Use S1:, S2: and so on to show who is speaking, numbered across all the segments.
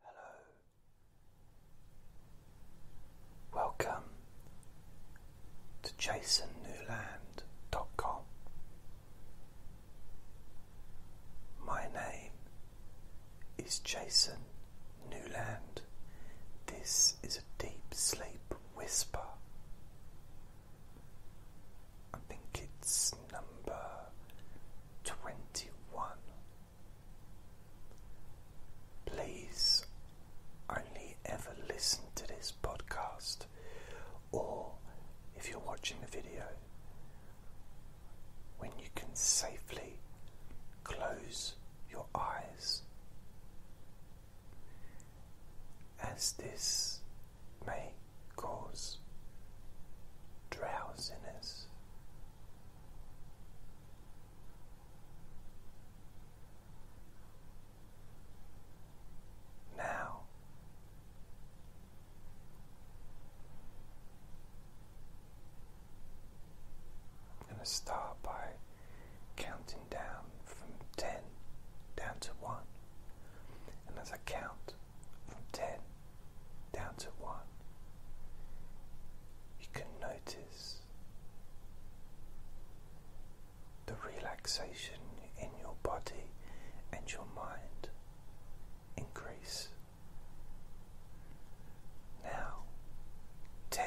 S1: Hello. Welcome to jasonnewland.com. My name is Jason Newland. This is a deep sleep whisper. I think it's number 21 Please only ever listen to this podcast, or if you're watching the video, when you can safely close your eyes, as this may cause drowsiness. Now, I'm going to start by counting down from 10 down to 1, and as I count, from 10 down to 1, you can notice the relaxation in your body and your mind increase. Now, 10,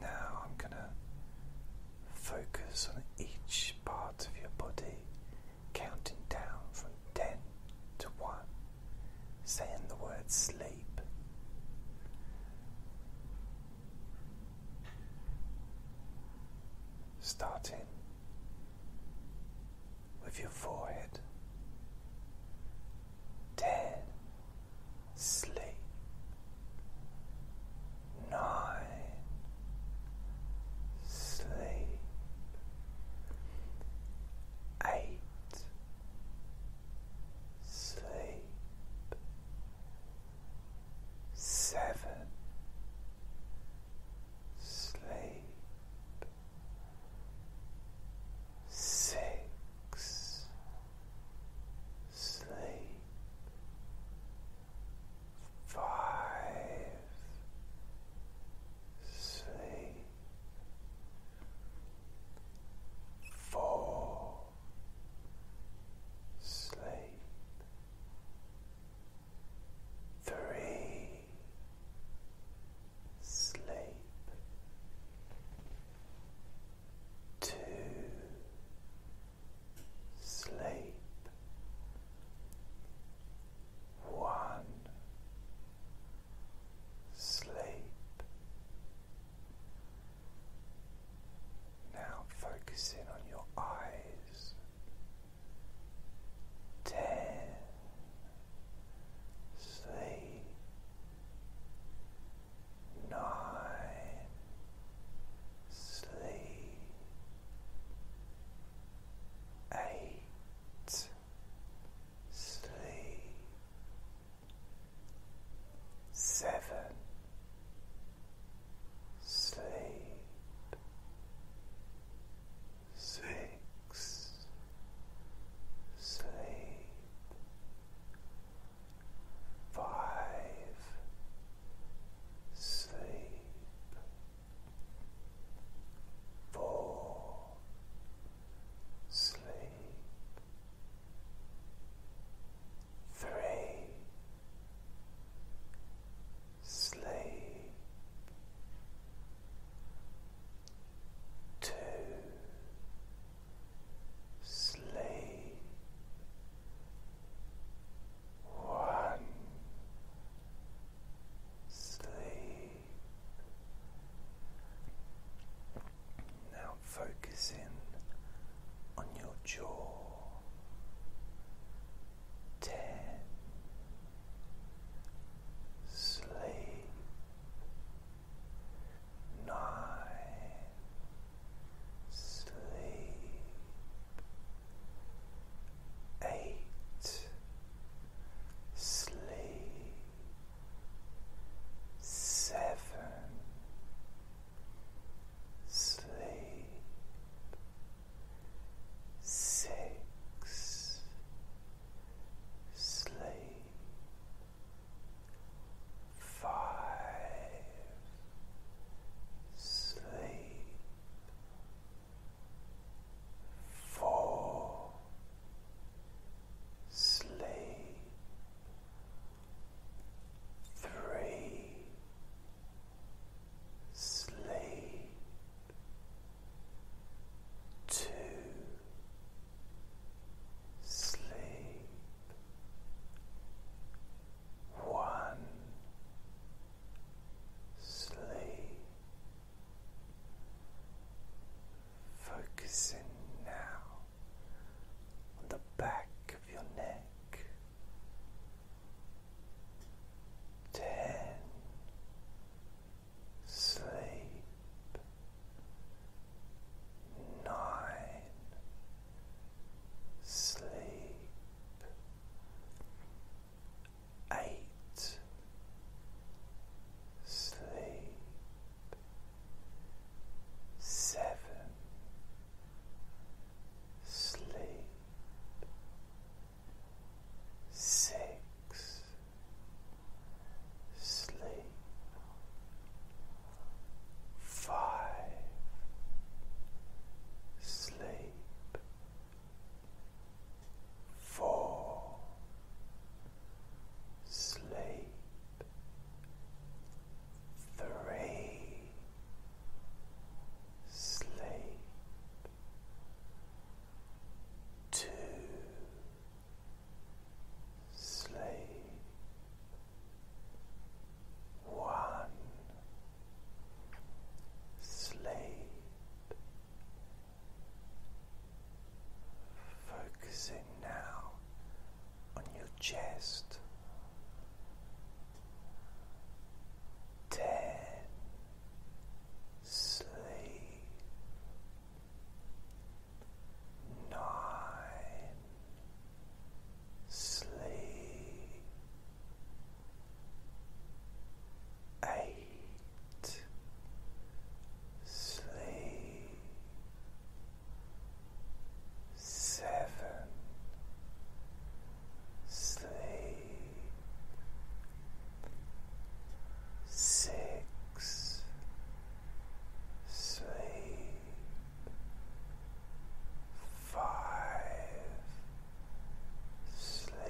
S1: now I'm going to focus on each part of your body, counting down from 10 to 1, saying the word sleep. Starting with your forehead. Ten, sleep nine sleep eight sleep seven sleep six, sleep, five, sleep, four, sleep. Three, sleep, to sleep one sleep now focus on your eyes ten sleep nine, sleep, eight, sleep, seven, sleep, six, sleep five, sleep, four, sleep, three, sleep, two, Slay. one sleep now focus in on your jaw ten sleep nine, sleep, eight, sleep, seven, sleep, six, sleep. Five. Sleep. Four. Sleep. Three. Sleep. Two sleep one sleep focusing now on the back of your neck ten sleep nine, sleep, eight, sleep, seven, sleep, six sleep five sleep four sleep three sleep two Slay. one sleep focusing now on your chest ten sleep nine, sleep, eight, sleep, seven, sleep, six sleep five sleep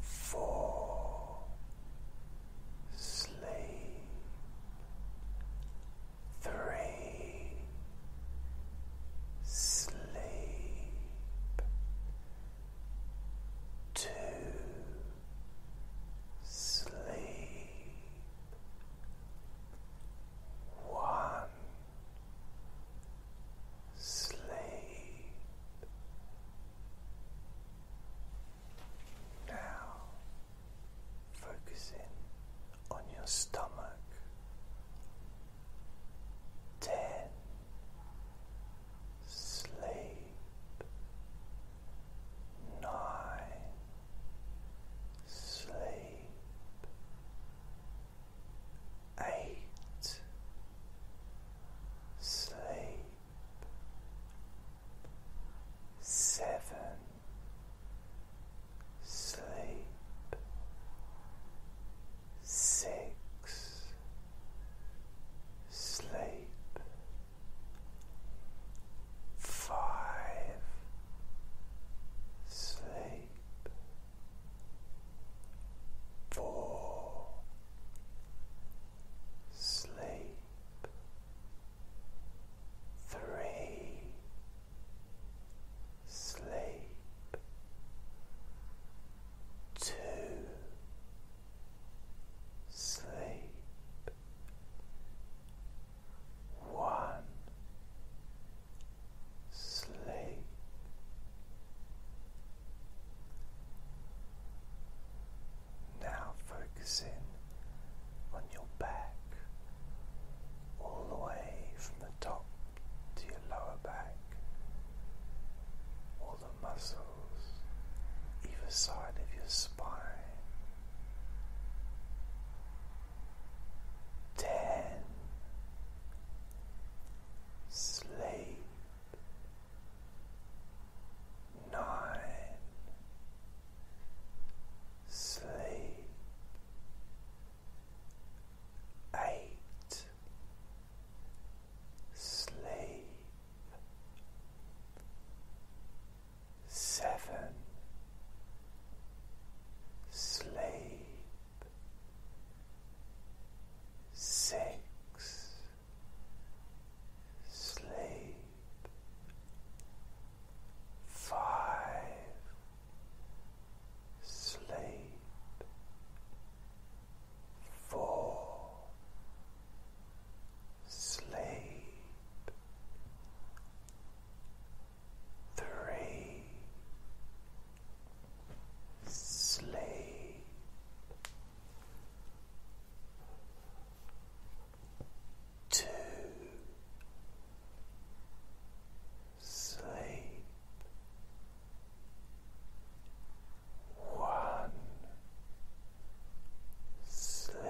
S1: four sleep three sleep to sleep one sleep now focusing on your stomach ten sleep nine sleep eight sleep seven sleep six sleep five sleep four sleep three sleep two sleep one sleep now focusing on your back all the way from the top to your lower back the muscles either side of your spine. Ten. Sleep. Nine. Sleep. Eight sleep seven sleep six sleep five sleep four, sleep, three, sleep. Two, sleep, one sleep.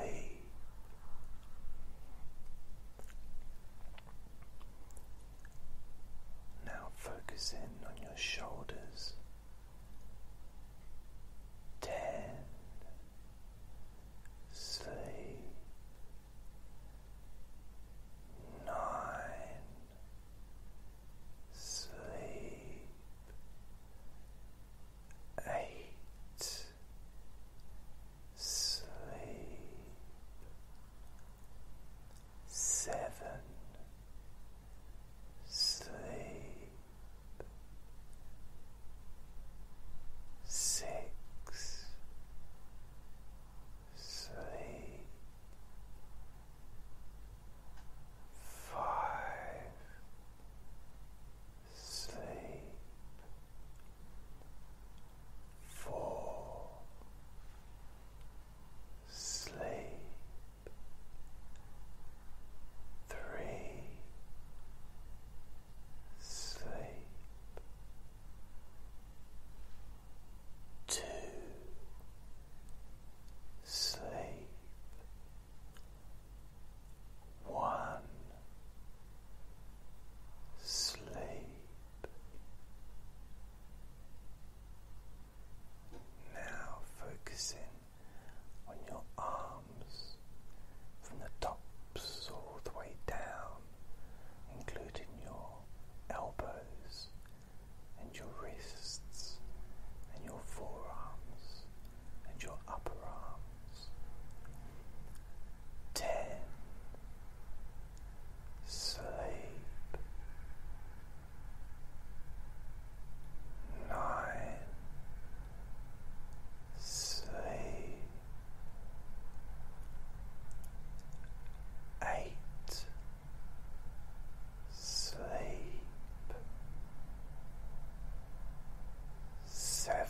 S1: Now focus in on your shoulders. Ten sleep. Nine sleep eight sleep seven sleep six sleep five, sleep, four, sleep, three, sleep to sleep one sleep now focusing on your arms from the tops all the way down including your elbows and your wrists and your forearms and your upper arms. Ten. Sleep. Nine. Sleep. Eight sleep seven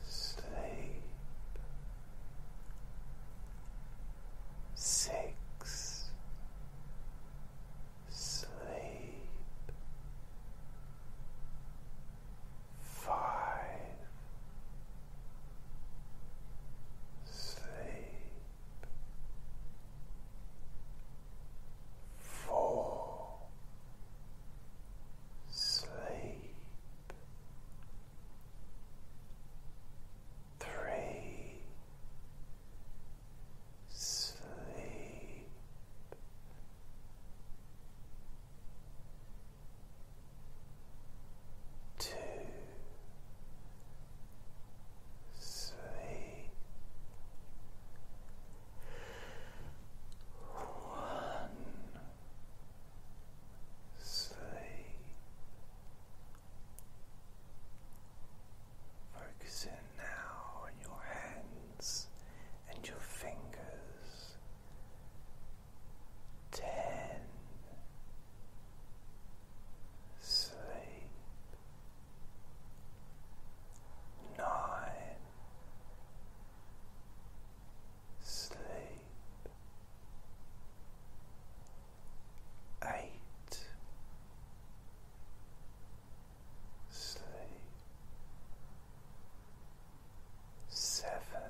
S1: sleep six sleep five sleep fall sleep three sleep to sleep. One now on your hands and your fingers ten sleep nine sleep eight sleep Seven,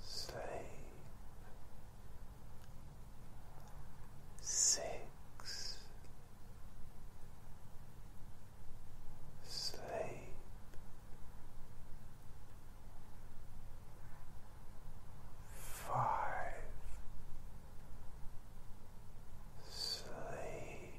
S1: sleep six sleep five sleep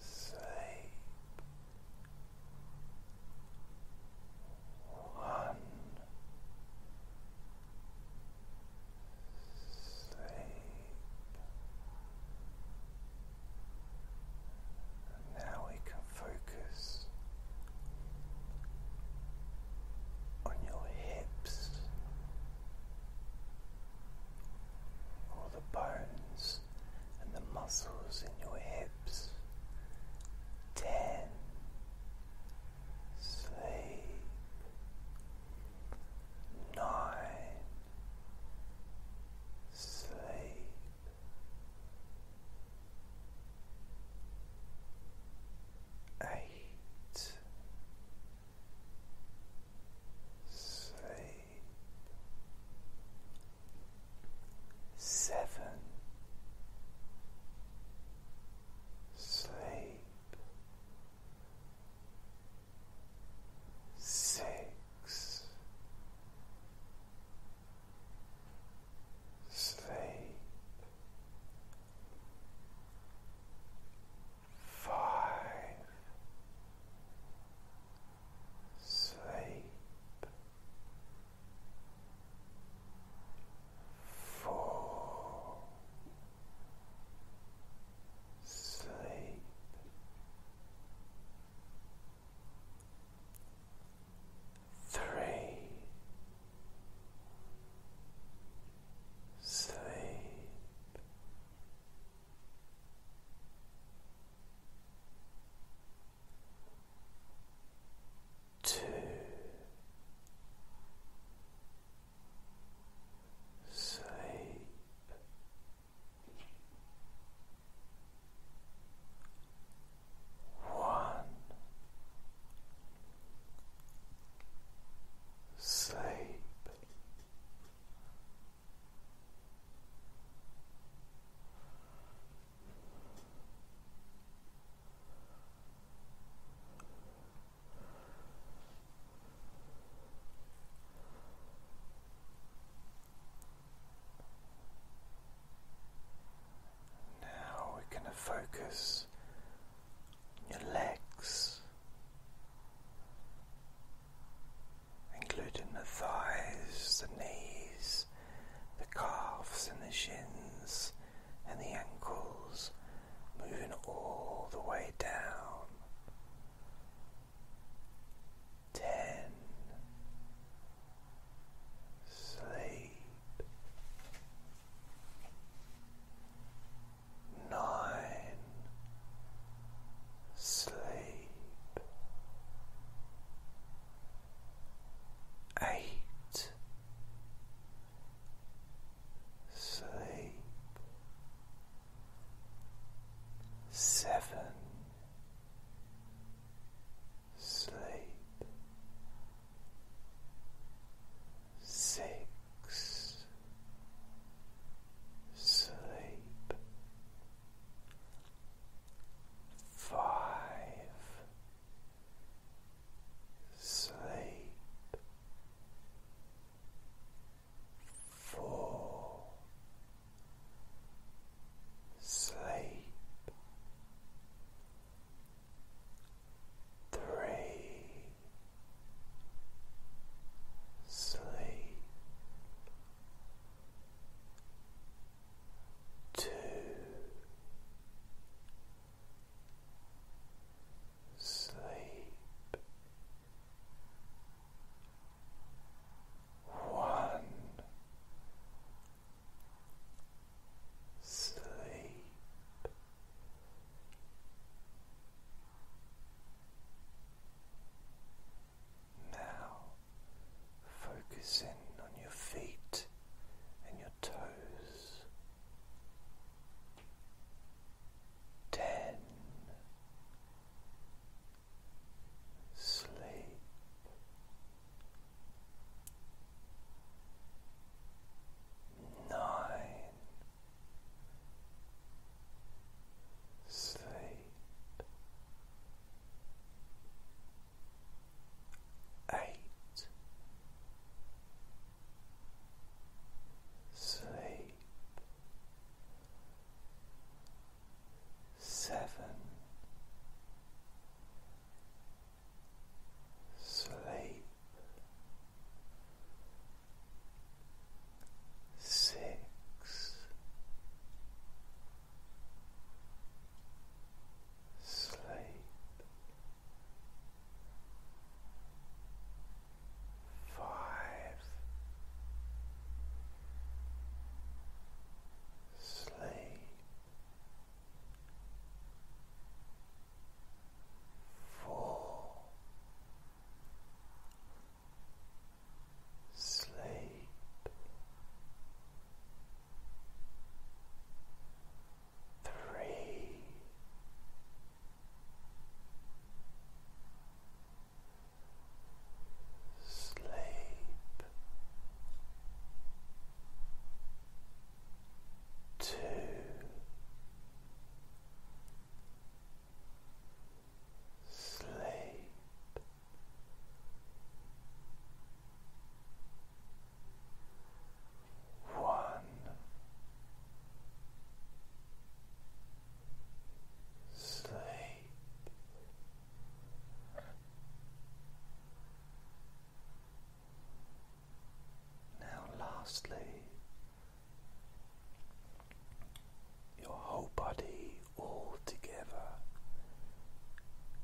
S1: Say one, sleep and now we can focus on your hips all the bones and the muscles in your hips. Ten. Sleep. Nine. Sleep. Eight sleep seven sleep six sleep five, sleep, four, sleep. Three sleep, Two, sleep, one, sleep. Now we're going to focus your legs, including the thighs, the knees, the calves, and the shins, and the ankles, moving all the way down. Ten. Sleep nine, sleep, eight, sleep, seven, sleep six, sleep, five, sleep, four, sleep. Three, sleep two sleep one sleep now, focus in on your feet and your toes. Ten. Sleep. Nine sleep. Eight sleep seven sleep six, sleep. Five sleep four, sleep. Three, sleep, two, sleep. One sleep now, lastly, your whole body all together,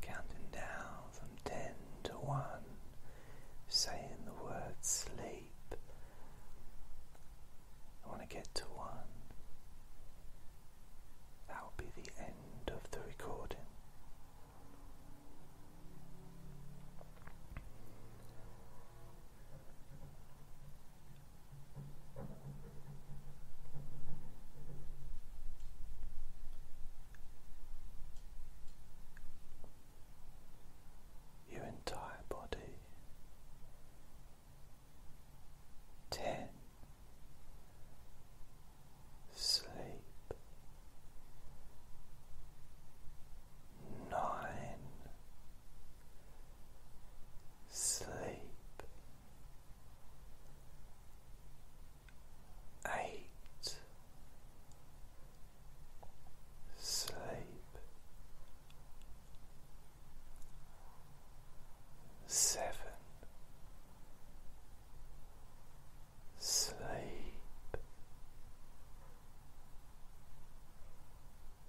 S1: counting down from 10 to 1, saying the word sleep. I want to get to 1. That will be the end of the recording. Your entire body ten sleep nine, sleep, eight, sleep, seven. Sleep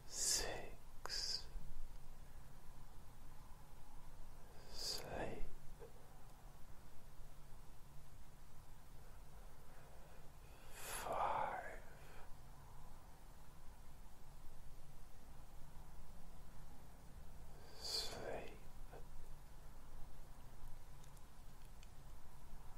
S1: six, sleep. Five, sleep,